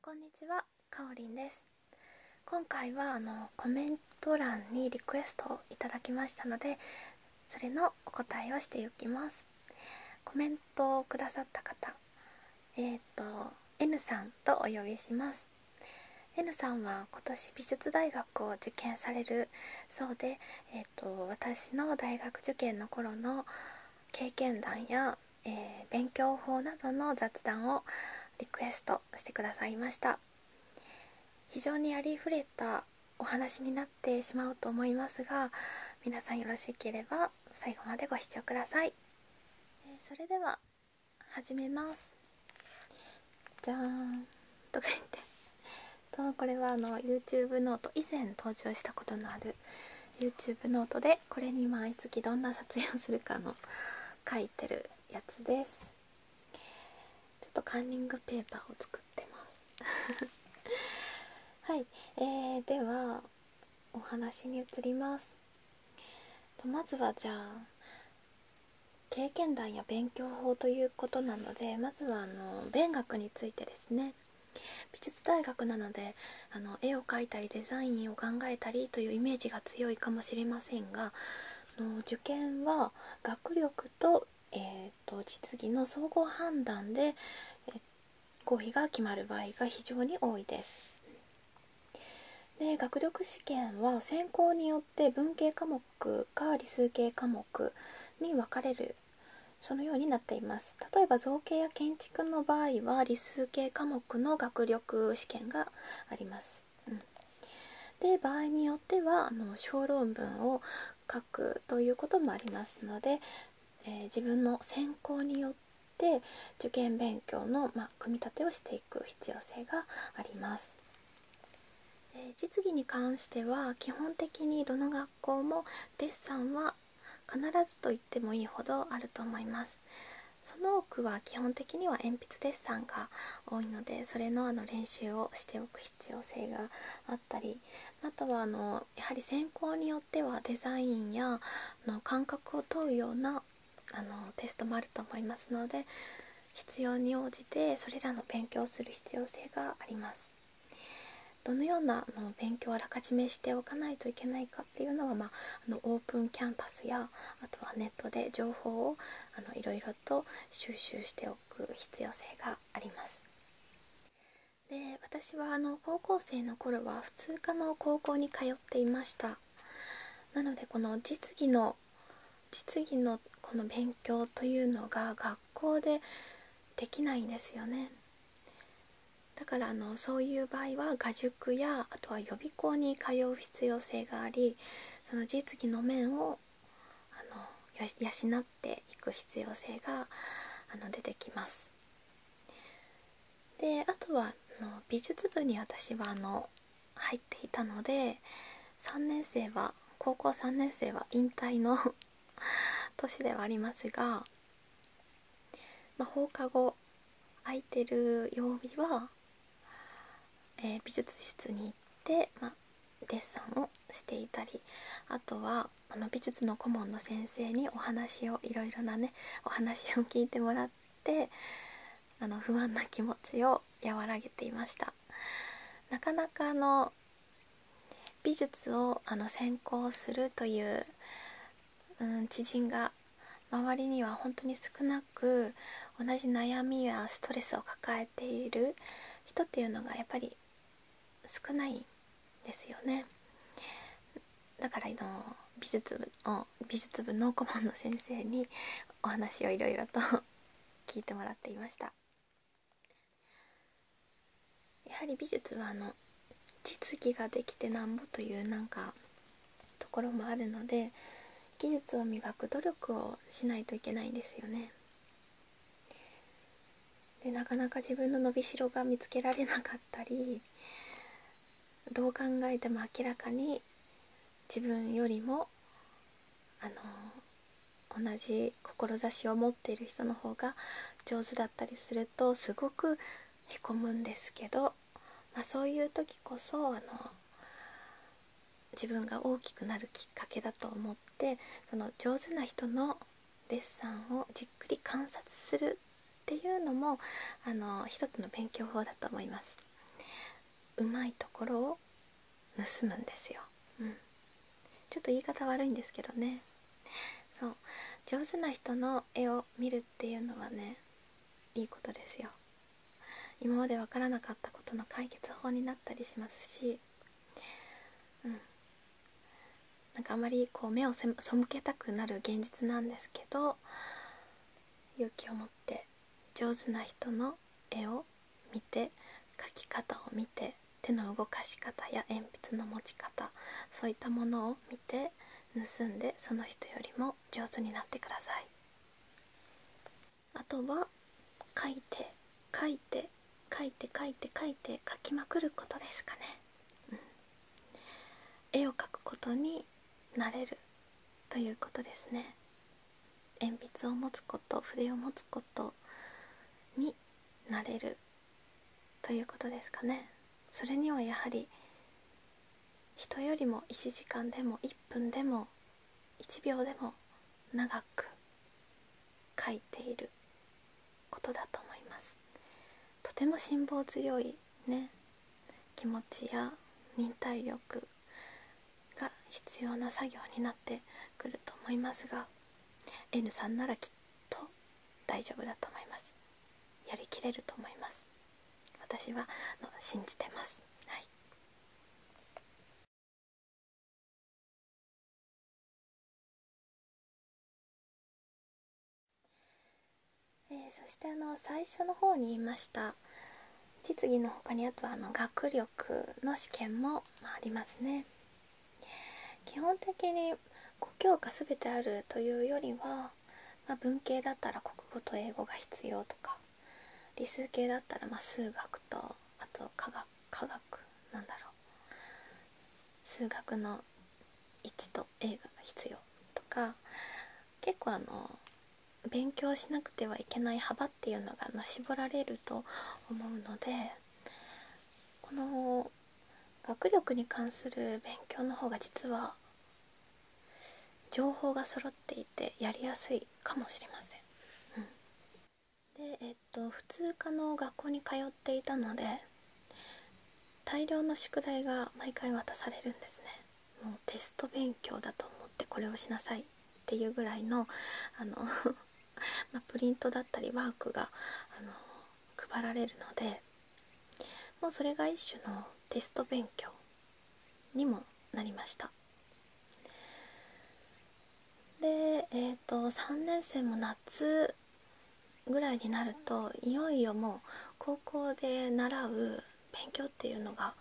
こんにちは、かおりんです。今回はあのコメント欄にリクエストをいただきましたので、それのお答えをしていきます。コメントをくださった方、えっ、と N さんとお呼びします。N さんは今年美術大学を受験されるそうで、えっ、と私の大学受験の頃の経験談や、え勉強法などの雑談をリクエストしてくださいました非常にありふれたお話になってしまうと思いますが皆さんよろしければ最後までご視聴ください、それでは始めますじゃーんとか言ってとこれはあの YouTube ノート以前登場したことのある YouTube ノートでこれに毎月どんな撮影をするかの書いてるやつですちょっとカンニングペーパーを作ってます はい、えー、ではお話に移りますまずはじゃあ経験談や勉強法ということなのでまずはあの勉学についてですね美術大学なのであの絵を描いたりデザインを考えたりというイメージが強いかもしれませんがの受験は学力と,、えーと、実技の総合判断で、え合否が決まる場合が非常に多いです。で学力試験は選考によって文系科目か理数系科目に分かれるそのようになっています例えば造形や建築の場合は理数系科目の学力試験があります、うん、で場合によってはあの小論文を書くということもありますので、え自分の専攻によって受験勉強の、ま組み立てをしていく必要性があります実技に関しては基本的にどの学校もデッサンは必ずと言ってもいいほどあると思いますその多くは基本的には鉛筆デッサンが多いのでそれのあの練習をしておく必要性があったりあとはあのやはり専攻によってはデザインやの感覚を問うようなあのテストもあると思いますので必要に応じてそれらの勉強をする必要性があります。どのようなあの勉強をあらかじめしておかないといけないかっていうのは、まあ、のオープンキャンパスやあとはネットで情報をあのいろいろと収集しておく必要性があります。で私はあの高校生の頃は普通科の高校に通っていましたなのでこの実技の実技のこの勉強というのが学校でできないんですよねだからあのそういう場合は画塾やあとは予備校に通う必要性がありその実技の面をあの養っていく必要性があの出てきます。であとはあの美術部に私はあの入っていたので3年生は高校3年生は引退の 年ではありますがま放課後空いてる曜日は、え美術室に行って、まデッサンをしていたりあとはあの美術の顧問の先生にお話をいろいろなねお話を聞いてもらってあの不安な気持ちを和らげていましたなかなかあの美術をあの専攻するという、うん、知人が周りには本当に少なく同じ悩みやストレスを抱えている人っていうのがやっぱり少ないんですよねだからの美術部を美術部の顧問の先生にお話をいろいろと聞いてもらっていました。やはり美術はあの実技ができてなんぼというなんかところもあるので技術を磨く努力をしないといけないんですよねでなかなか自分の伸びしろが見つけられなかったりどう考えても明らかに自分よりもあの同じ志を持っている人の方が上手だったりするとすごくへこむんですけど、まあ、そういう時こそあの自分が大きくなるきっかけだと思ってその上手な人のデッサンをじっくり観察するっていうのもあの一つの勉強法だと思います。うまいところを盗むんですよ、うん、ちょっと言い方悪いんですけどねそう上手な人の絵を見るっていうのはねいいことですよ今まで分からなかったことの解決法になったりしますしうんなんかあまりこう目を背けたくなる現実なんですけど勇気を持って上手な人の絵を見て描き方を見て手の動かし方や鉛筆の持ち方そういったものを見て盗んでその人よりも上手になってくださいあとは書いて書いて書いて書いて書いて書きまくることですかね、うん、絵を描くことになれるということですね鉛筆を持つこと筆を持つことになれるということですかねそれにはやはり人よりも1時間でも1分でも1秒でも長く書いていることだと思いますとても辛抱強いね気持ちや忍耐力が必要な作業になってくると思いますが N さんならきっと大丈夫だと思いますやりきれると思います私はの信じてますはいえー、そしてあの最初の方に言いました実技のほかにあとはあの学力の試験もありますね基本的に故郷が全てあるというよりは、ま文系だったら国語と英語が必要とか理数系だったらま数学とあと科学科学なんだろう数学の1と映画が必要とか結構あの勉強しなくてはいけない幅っていうのが絞られると思うのでこの学力に関する勉強の方が実は情報が揃っていてやりやすいかもしれません、うん、でえっと普通科の学校に通っていたので大量の宿題が毎回渡されるんですねもうテスト勉強だと思ってこれをしなさいっていうぐらいのあの まプリントだったりワークがあの配られるのでもうそれが一種のテスト勉強にもなりましたでえっ、と3年生も夏ぐらいになるといよいよもう高校で習う勉強っていうのが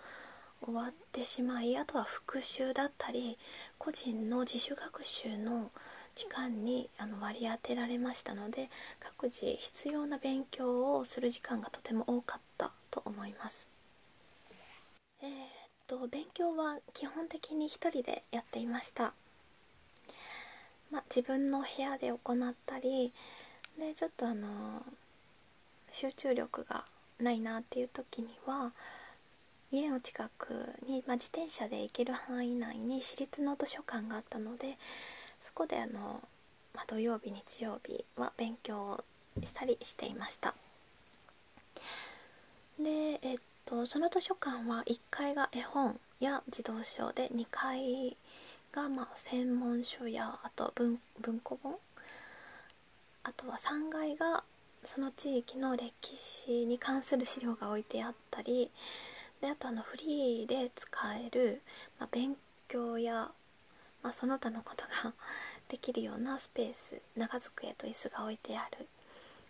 終わってしまいあとは復習だったり個人の自主学習の期間にあの割り当てられましたので各自必要な勉強をする時間がとても多かったと思います。えっと勉強は基本的に1人でやっていました、ま自分の部屋で行ったりでちょっとあの集中力がないなっていう時には家の近くに、まあ、自転車で行ける範囲内に私立の図書館があったのでそこであの、まあ、土曜日日曜日は勉強をしたりしていましたでえっとその図書館は1階が絵本や児童書で2階がまあ専門書やあと文文庫本あとは3階がその地域の歴史に関する資料が置いてあったりであとあのフリーで使える、まあ、勉強や、まあ、その他のことが できるようなスペース長机と椅子が置いてある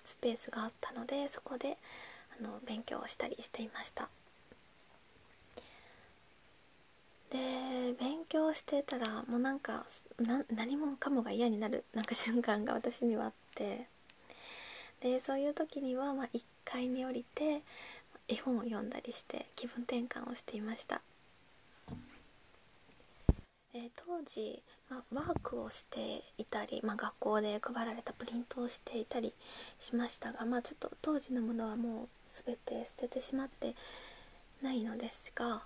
スペースがあったのでそこであの勉強をしたりしていましたで勉強してたらもうなんか何もかもが嫌になるなんか瞬間が私にはあってでそういう時にはま1階に降りて絵本を読んだりして気分転換をしていました、え当時、まワークをしていたり、ま学校で配られたプリントをしていたりしましたが、まあ、ちょっと当時のものはもう全て捨ててしまってないのですが、ま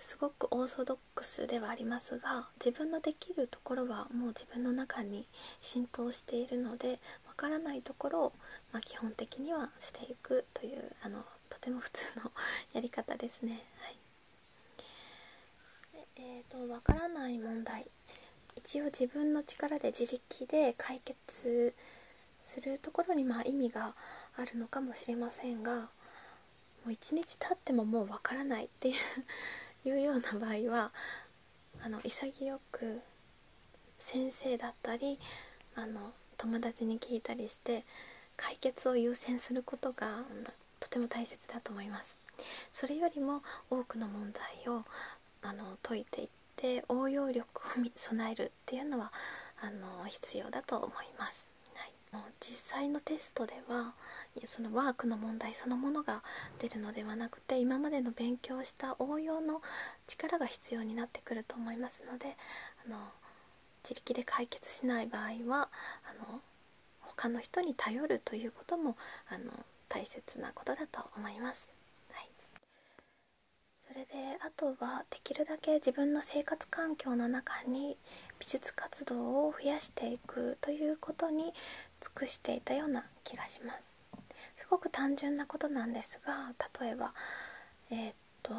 すごくオーソドッックではありますが自分のできるところはもう自分の中に浸透しているのでわからないところを、ま基本的にはしていくというあのとても普通のやり方ですね。はいえーと、わからない問題一応自分の力で自力で解決するところにま意味があるのかもしれませんがもう1日経ってももうわからないっていう ような場合はあの潔く先生だったりあの友達に聞いたりして解決を優先することがとても大切だと思いますそれよりも多くの問題をあの解いていって応用力を備えるっていうのはあの必要だと思います、はい、もう実際のテストではそのワークの問題そのものが出るのではなくて今までの勉強した応用の力が必要になってくると思いますのであの自力で解決しない場合はあの他の人に頼るということもあの大切なことだと思います。はい、それであとはできるだけ自分の生活環境の中に美術活動を増やしていくということに尽くしていたような気がしますすごく単純なことなんですが例えばえっと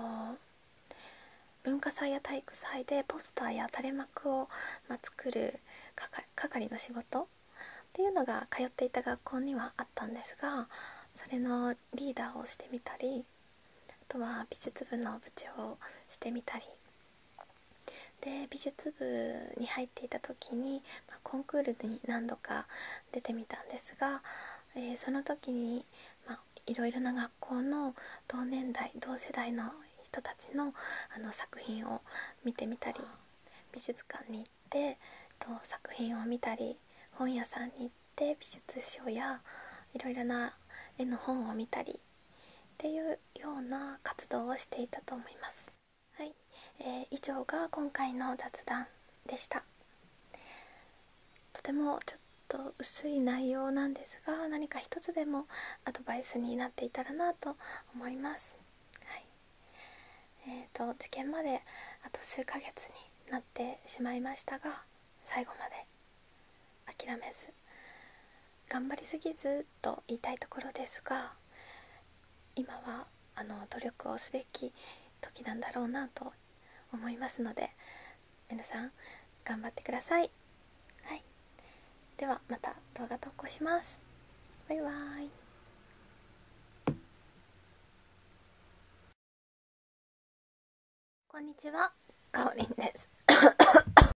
文化祭や体育祭でポスターや垂れ幕を、ま作る係の仕事っていうのが通っていた学校にはあったんですがそれのリーダーをしてみたりあとは美術部の部長をしてみたりで美術部に入っていた時に、まコンクールに何度か出てみたんですが、えその時に、まあ、いろいろな学校の同年代同世代の人たちのあの作品を見てみたり美術館に行ってと作品を見たり本屋さんに行って美術書やいろいろな絵の本を見たりっていうような活動をしていたと思いますはい、えー、以上が今回の雑談でしたとてもちょっと薄い内容なんですが何か一つでもアドバイスになっていたらなと思いますはいえー、と受験まであと数ヶ月になってしまいましたが最後まで諦めず頑張りすぎずと言いたいところですが今はあの努力をすべき時なんだろうなと思いますので皆さん頑張ってください、はい、ではまた動画投稿しますバイバーイこんにちはかおりんです